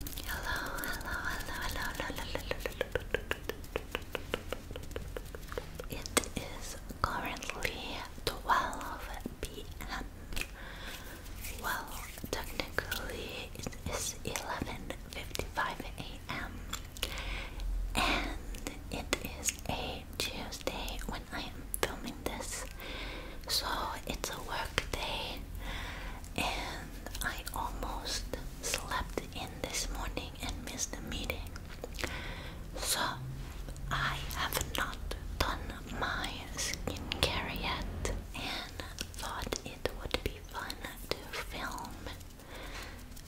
hello, hello, hello, hello, hello, hello. It is currently 12 p.m. Well, technically it is 11:55 a.m. and it is a Tuesday when I am filming this, so it's a work day and I almost slept in this morning and missed the meeting. So I have not done my skincare yet and thought it would be fun to film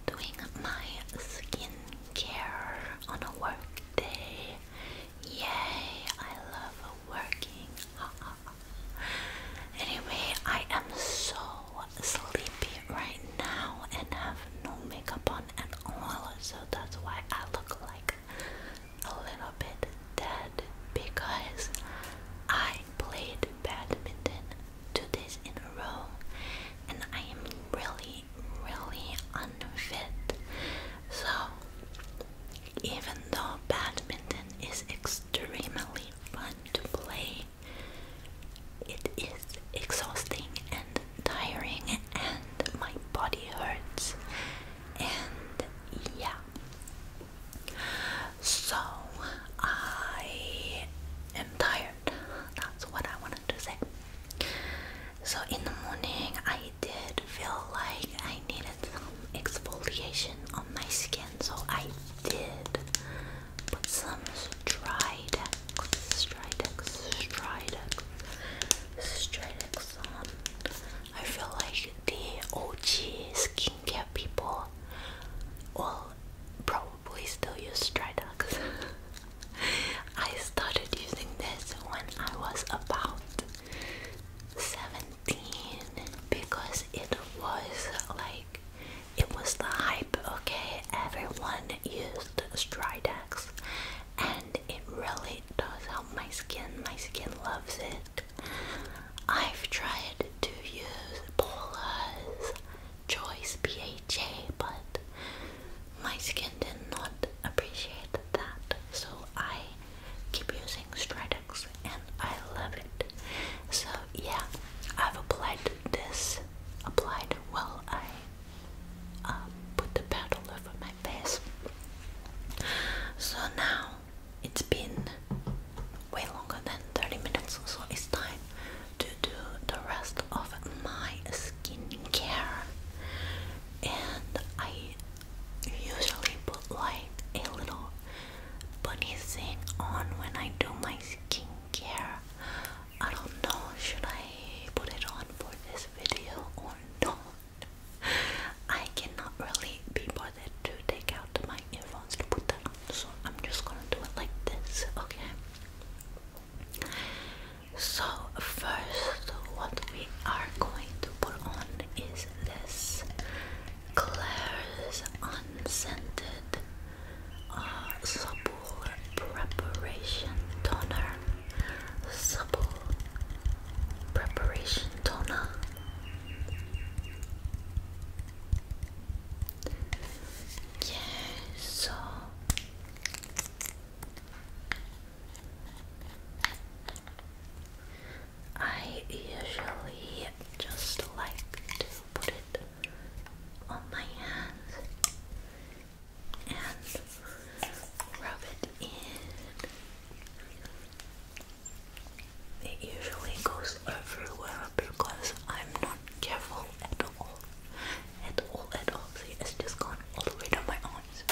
doing my skincare on a work day. Yay, I love working. anyway, I am so sleepy right now and have no makeup on at all, so that's why I look like a little bit dead because I played badminton two days in a row and I am really, really unfit. So, even though badminton is extremely extremely fun to play. It is exhausting and tiring, and my body hurts. And yeah. So I am tired. That's what I wanted to say. So in the morning, I did feel like I needed some exfoliation on my skin, so I did put some Stridex, Stridex, Stridex, Stridex on. I feel like the OG skincare people will probably still use Stridex. I started using this when I was about 17 because it was like it was the hype, okay? Everyone used Stridex and it really does help my skin. My skin loves it. I've tried to use Paula's Choice PHA, but my skin did not appreciate that, so I keep using Stridex and I love it. So yeah, I've applied this, applied well. I um, put the paddle over my face. So now it's been way longer than 30 minutes, so it's time to do the rest of my skincare. And I usually put like a little bunny thing on when I do my skincare. I don't know, should I put it on for this video or not? I cannot really be bothered to take out my earphones to put that on, so I'm just gonna do it like this, okay? So, first, what we are going to put on is this Claire's Unscented uh, Supple Preparation Toner. Supple Preparation Toner. Yeah, so. I usually just like to put it on my hands and rub it in. It usually goes everywhere because I'm not careful at all. At all, at all. See, it's just gone all the way down my arms.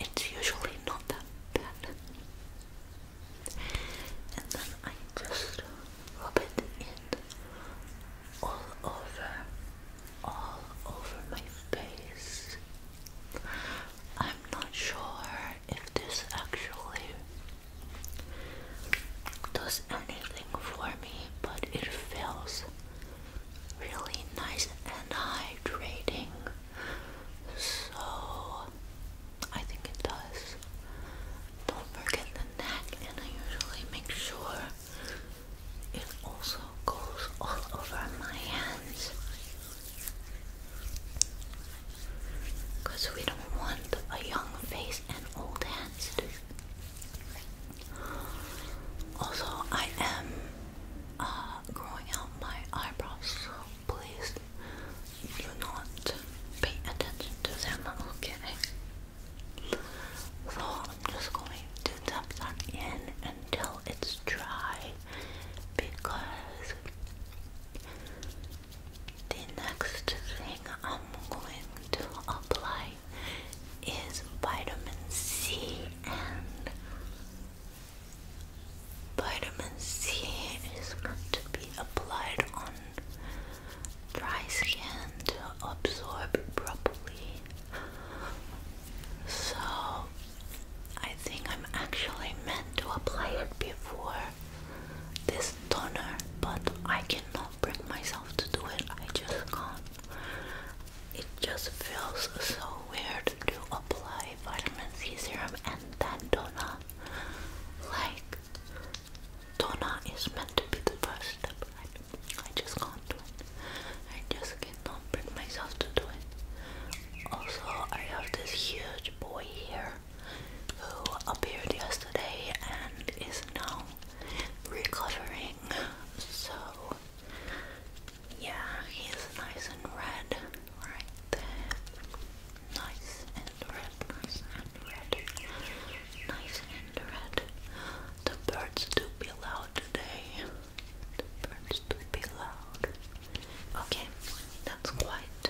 It's usually not that bad and then I just rub it in all over, all over my face. I'm not sure if this actually does anything for me, but it feels really nice and hydrating. So I think it does. Don't forget the neck, and I usually make sure it also goes all over my hands. Because we don't want a young face and old hands to. Also, I am uh, growing out my eyebrows, please do not pay attention to them, okay? So I'm just going to tap that in until it's dry because the next thing I'm going to apply is vitamin C and Vitamin C is meant to be applied on dry skin to absorb properly. So I think I'm actually meant to apply it before this toner, but I cannot bring myself to do it. I just can't. It just feels so weird to apply vitamin C serum and that donut. Like, donut is meant to be the first step. I, I just can't do it. I just cannot bring myself to do it. Also, I have this huge boy here who appeared yesterday and is now recovering. So, yeah, he's nice and red right there. Nice and red, nice and red. Nice and red. The birds do be loud today. The birds do be loud. Okay, that's quite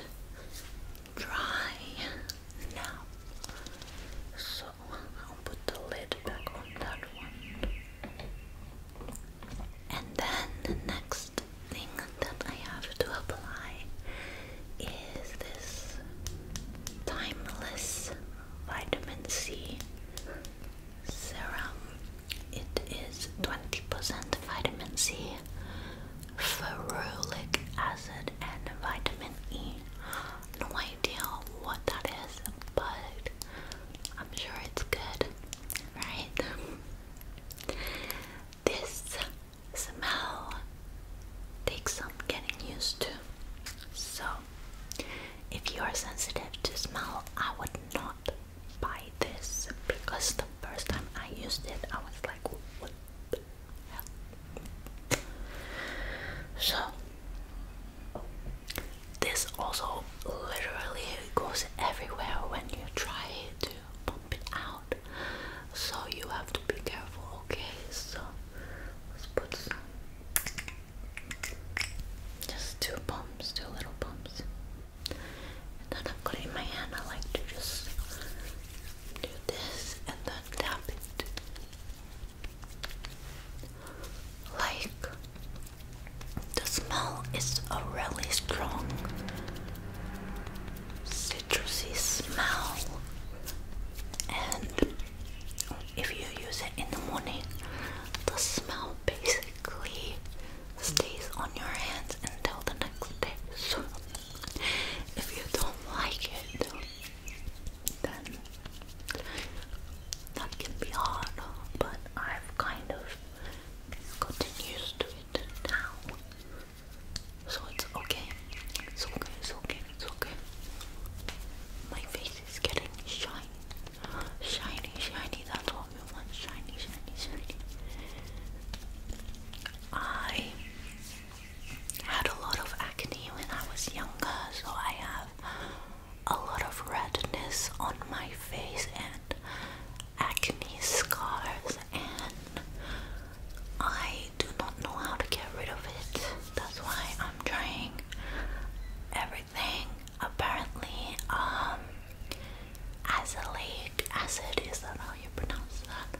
dry now. So I'll put the lid back on that one. And then the next thing that I have to apply is this Timeless Vitamin C Serum. It is 20% vitamin C, ferulic acid, and vitamin E. No idea what that is, but I'm sure it's good, right? This smell takes some getting used to. So, if you are sensitive to smell, I would not buy this because the first time I used it, I was like, what So, this also literally goes everywhere when you try to pump it out. So you have to be careful, okay? So let's put some just two pumps, two little pumps. And then I'm going in my hand I like to just do this and then tap it. Like the smell is a really strong citrusy smell, and if you use it in the morning, the smell basically stays on your hands until the next day. So, if you don't like it, then that can be hard, but I've kind of gotten to it now. So it's okay. It's okay, it's okay, it's okay. My face is getting shiny. Shiny, shiny, that's all we want. Shiny, shiny, shiny. I had a lot of acne when I was younger, so I have a lot of redness on my face and acne scars and I do not know how to get rid of it. That's why I'm trying everything. Apparently, um azelaic acid is that how you pronounce that?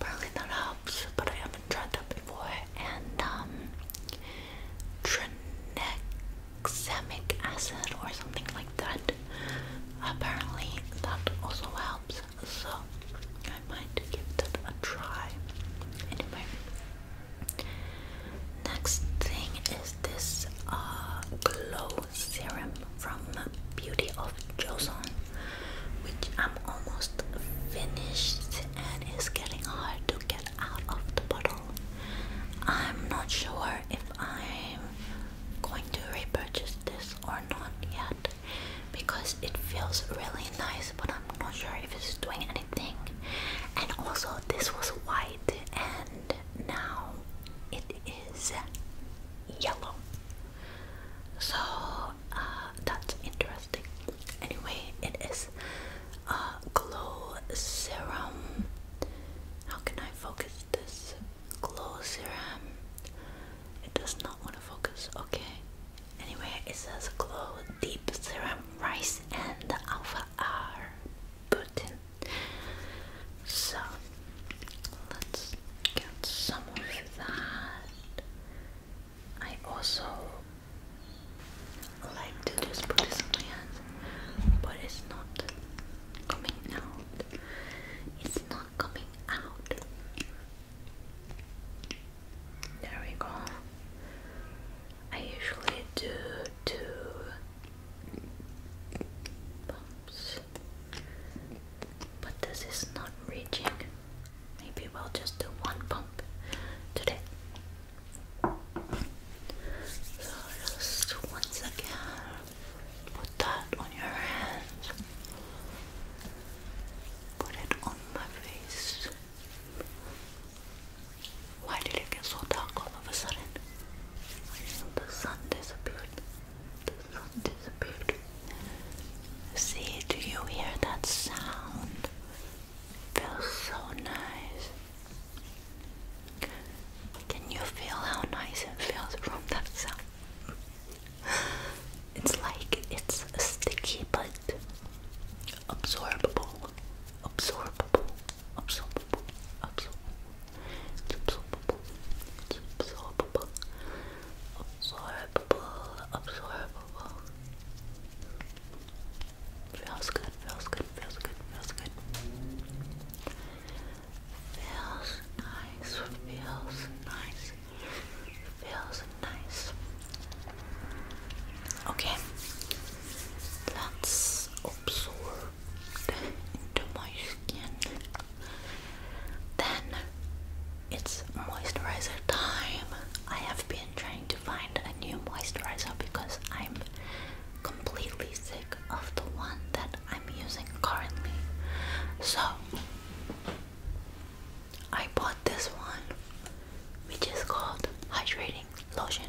Apparently that helps, but I haven't tried that before. And um Trinec balsamic acid or something like that. Apparently, that also helps. So, I might give that a try. Anyway, next thing is this uh, glow serum from Beauty of Joseon, which I'm almost finished and it's getting hard to get out of the bottle. I'm not sure if I'm going to repurchase this or not yet because it feels really nice but I'm not sure if it's doing anything and also this was white and now it is yellow so uh, that's interesting anyway it is a glow serum how can I focus this close your um it does not want to focus okay anyway it says glow deep serum rice and alpha r button so let's get some of that i also like to just put this on my hands but it's not coming out. It's not coming out. There we go. I usually do two bumps, but this is not reaching. Maybe we'll just do one bump today. So, just once again, Put that on your hands. Put it on my face. Why did it get so dark all of a sudden? The sun disappeared. The sun disappeared. See, do you hear that sound? feels so nice. Can you feel how nice it feels from that sound? It's like it's sticky but absorbable. Absorbable. Absorbable. Absorbable. It's absorbable. It's absorbable. Absorbable. Absorbable. Feels good, feels good, feels good, feels good. Feels nice, feels nice, feels nice. Okay, let's absorb into my skin. Then it's moisturizer time. I have been trying to find a new moisturizer because I'm completely sick of the one that I'm using currently. So I bought this one, which is called hydrating lotion,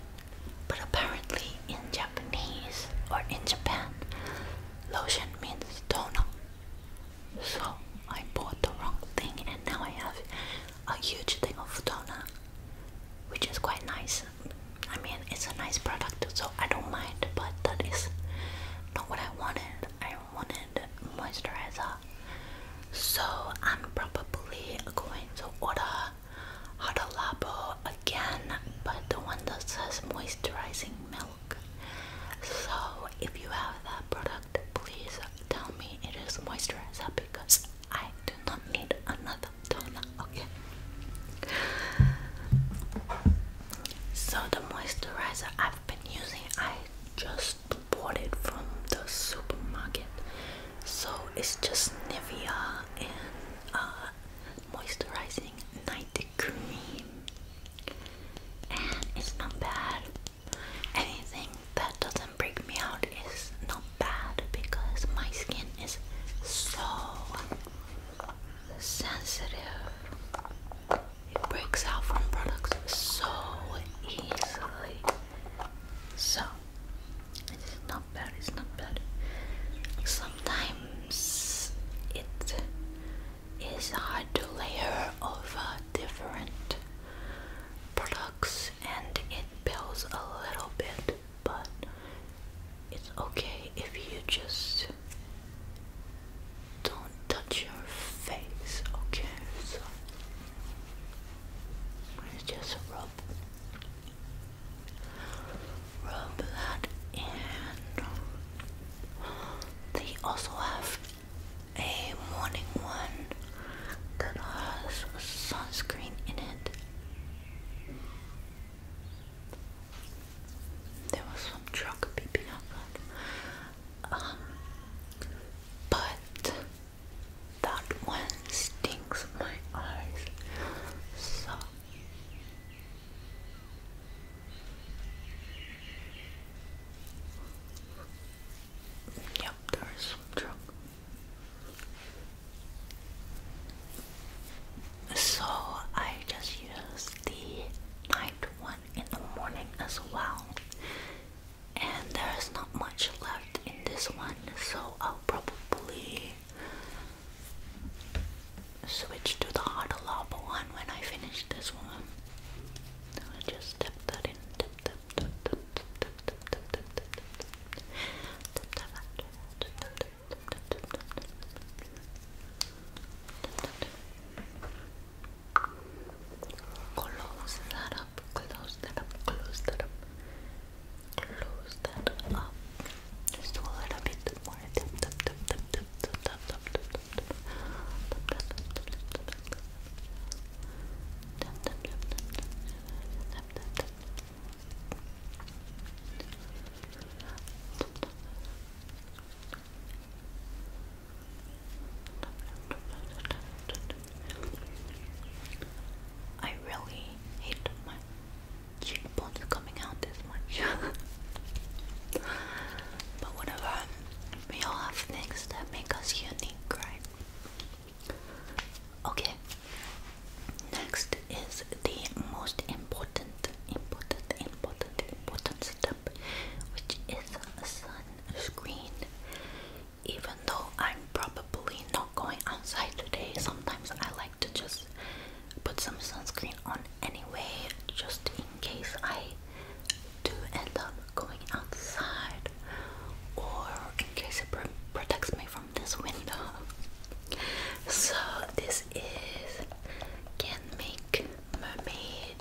but apparently in Japanese or in Japan, lotion means toner. So I bought the wrong thing, and now I have a huge thing of toner, which is quite nice. I mean, it's a nice product, so I don't mind, but that is not what I wanted. I wanted moisturizer, so I'm probably going to order Huda Labo again, but the one that says moisturizing milk. So, if you have that product, please tell me it is moisturizer because I do not need another okay. So the moisturizer I've been using, I just bought it from the supermarket. So it's just Nivea and uh, moisturizing night cream, and it's not bad. Anything that doesn't break me out is not bad because my skin is so sensitive. It breaks out from products so easily. So it's not bad, it's not bad. Sometimes it is hard to layer over different products and it builds a little bit but it's okay if you just don't touch your face, okay? So just rub rub that in. They also have a morning one that has sunscreen in it. There was some truck beeping up, um, but that one stings my eyes. So Yep, there is some truck. So I just used the night one in the morning as well. And there's not much left in this one, so I'll probably switch to the hot lava one when I finish this one. just tap that in. Close that up, close that up, close that up, close that up. Just a little bit more. I really hate my cheekbones coming out this much. but whatever, we all have things that make us unique, right? Okay, Next is the most important, important, important, important step, which is sunscreen. Even though I'm probably not going outside today, sometimes I like to just put some sunscreen on anyway, just in case I do end up going outside or in case it protects me from this window. So this is Can Mermaid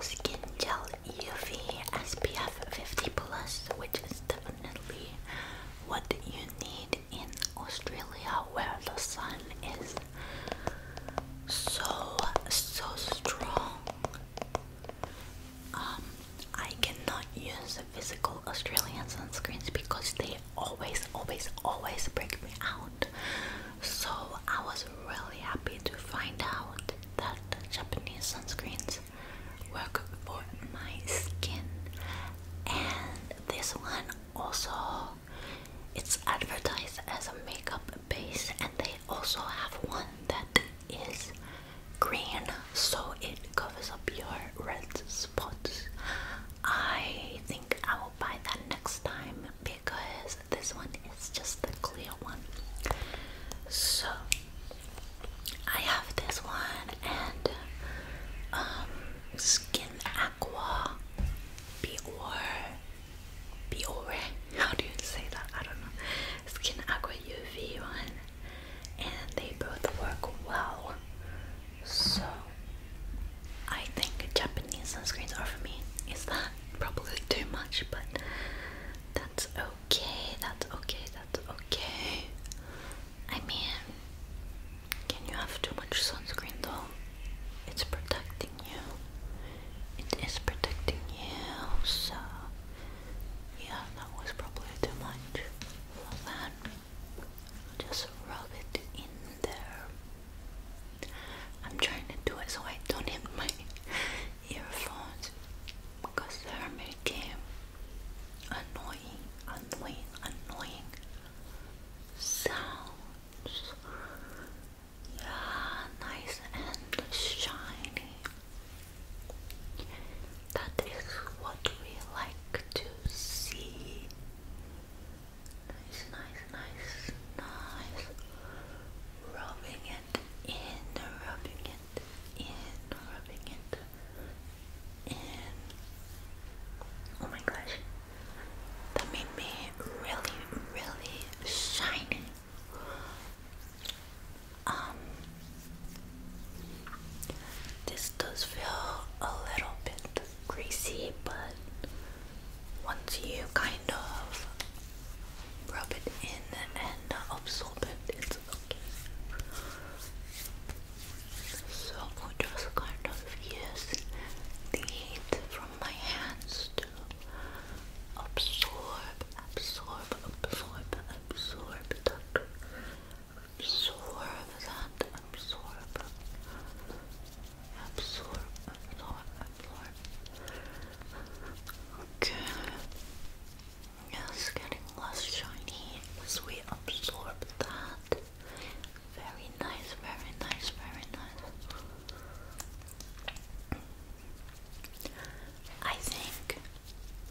Skin Gel UV SPF 50 plus, which is definitely what you need in Australia where the sun is so so strong. Um, I cannot use physical Australian sunscreens because they always, always, always break me out. So I was really happy to find out that Japanese sunscreens work for my skin. And this one also it's advertised as a makeup base and they also have one that is green so it covers up your red spots I think I will buy that next time because this one is just the clear one. So I have this one and um Skin Aqua Biore Biore. How do you say that? I don't know. Skin Aqua UV one and they both work well. So I think Japanese sunscreens are for me. Is that probably too much? But that's okay. That's okay. That's okay. I mean, can you have too much sunscreen though? It's protecting you. It is protecting you. So yeah, that was probably too much. Love that. Just rub it in there. I'm trying to do it so I don't hit my earphones because they're making annoying, annoying, annoying sounds. Yeah, nice and shiny. That is what we like to see. Nice, nice, nice, nice. Rubbing it in, rubbing it in, rubbing it in. Oh my gosh, that made me really, really shiny. Um, this does feel a little bit greasy, but once you kind of rub it in and absorb it, it's okay. So we just kind of use the heat from my hands to absorb, absorb, absorb, absorb that absorb that, absorb, absorb, absorb, absorb. Okay. It's getting less shiny as we absorb that. Very nice, very nice, very nice. I think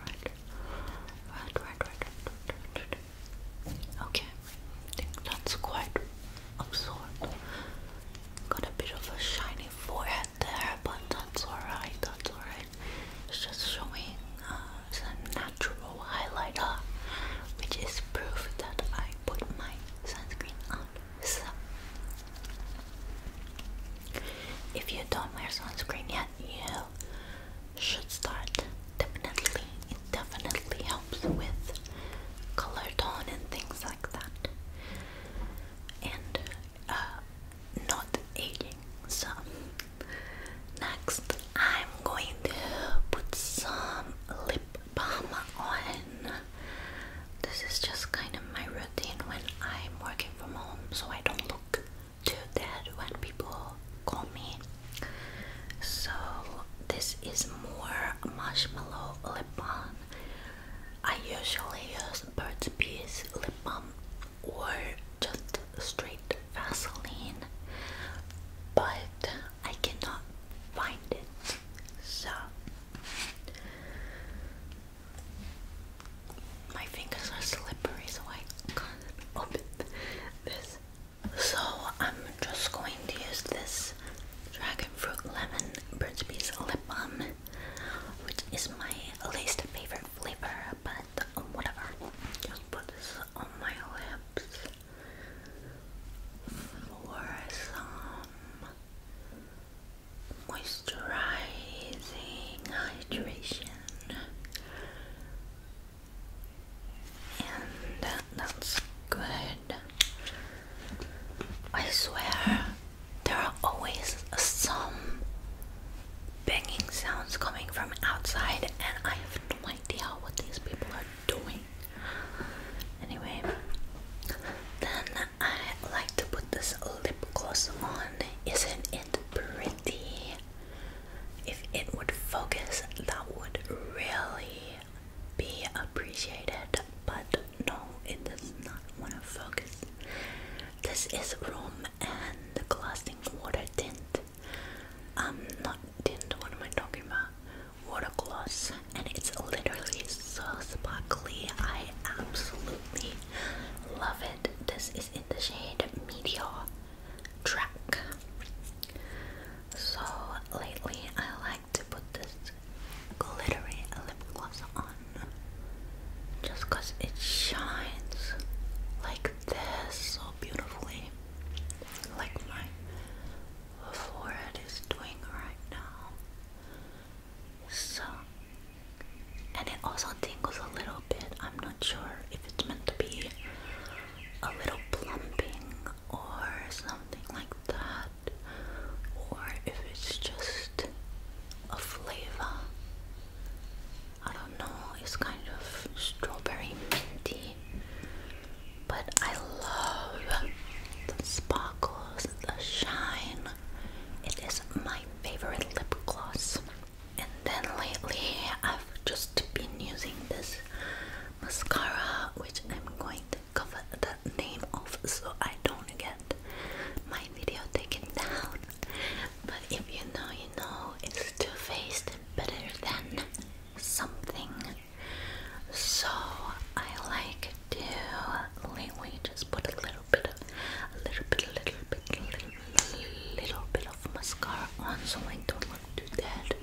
right, right, right, right, right, right. Okay, I think that's quite absorbed. Got a bit of a shiny forehead there, but that's alright, that's alright. It's just showing a uh, natural highlighter, which is proof that I put my sunscreen on. If you don't wear sunscreen yet, you should start. Definitely, it definitely helps with color tone and things like that. And uh, not aging. So, next, I'm going to put some lip balm on. This is just kind of my routine routine when I'm working from home so I don't look too dead when people call me. So this is more marshmallow lip balm. I usually use Bert's Bees lip balm or just straight Vaseline, but I cannot find it. So my fingers are slippery, so I can't open this. So I'm just going to use this dragon fruit lemon Burt's lip balm, which is my least favorite flavor, but whatever. Just put this on my lips for some moisturizing hydration, and that's good. I swear, there are always some banging sounds coming from outside, and I have no idea what these people are doing. Anyway, then I like to put this lip gloss on. Isn't it pretty? If it would focus, that would really be appreciated. But no, it does not want to focus. This is Room and Glassing Water Tint. I'm um, not tint, what am I talking about? Water gloss, and it's literally so sparkly. I absolutely love it this is in the shade Meteor Track. So lately, I like to put this glittery lip gloss on just it shines like this so beautifully, like my forehead is doing right now. So, and it also tingles a little bit. I'm not sure if it's meant to be a little plumping or something like that, or if it's just a flavor. I don't know, it's kind of strawberry minty, but I love the sparkles, the shine it is my favorite lip gloss. And then lately I've just been using this mascara which I'm going to cover the name of so I don't get my video taken down. But if you know you know it's 2 Faced better than something. So I like to lately just put a little little bit a little bit, a little bit, a little, little, bit of mascara on so I don't look too dead.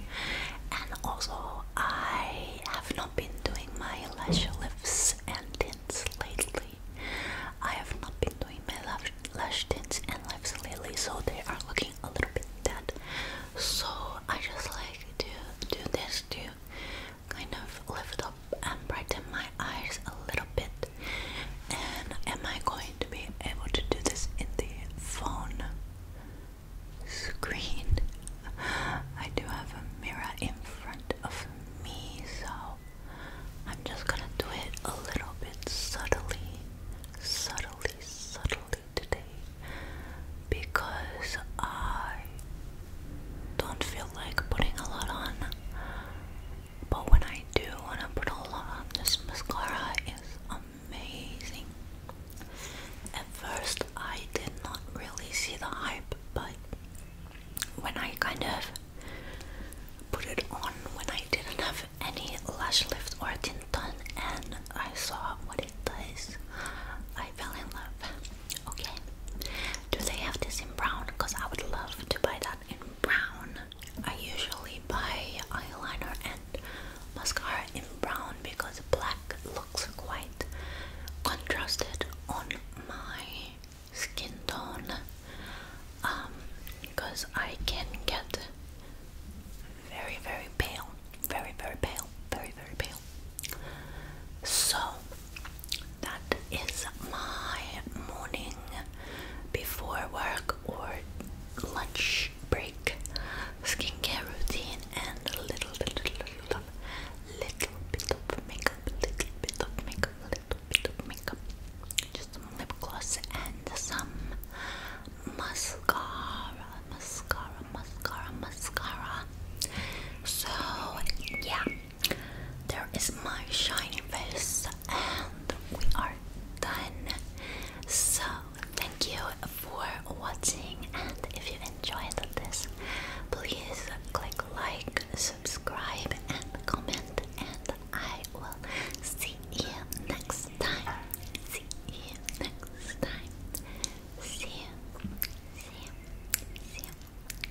And also, I have not been doing my lash lifts and tints lately. I have not been doing my lash, tints and lifts lately, so they are looking a little bit dead. So I just like to do this too kind of lift up and brighten my eyes a little bit. And am I going to be able to do this in the phone screen? I do have a mirror in front of me, so I'm just gonna do it a little bit subtly, subtly, subtly today because I don't feel like putting a lot on. But when I do wanna put a lot on, this mascara is amazing. At first I did not really see the hype, but when I kind of put it on when I didn't have any lash lift or tint done and I saw what it does, I fell in love. Okay. Do they have this in brown? Because I would love to buy that in brown. I usually buy eyeliner and mascara in brown because black looks quite contrasted on my skin tone. Um, because I can get very, very pale, very, very pale, very, very pale. So that is my morning before work or lunch break skincare routine and a little bit, little, little, little bit of makeup, little bit of makeup, little bit of makeup, just some lip gloss and some mascara, mascara, mascara, mascara. So yeah. There is my shiny face, and we are done. So, thank you for watching, and if you enjoyed this, please click like, subscribe, and comment. And I will see you next time. See you next time. See you. See you.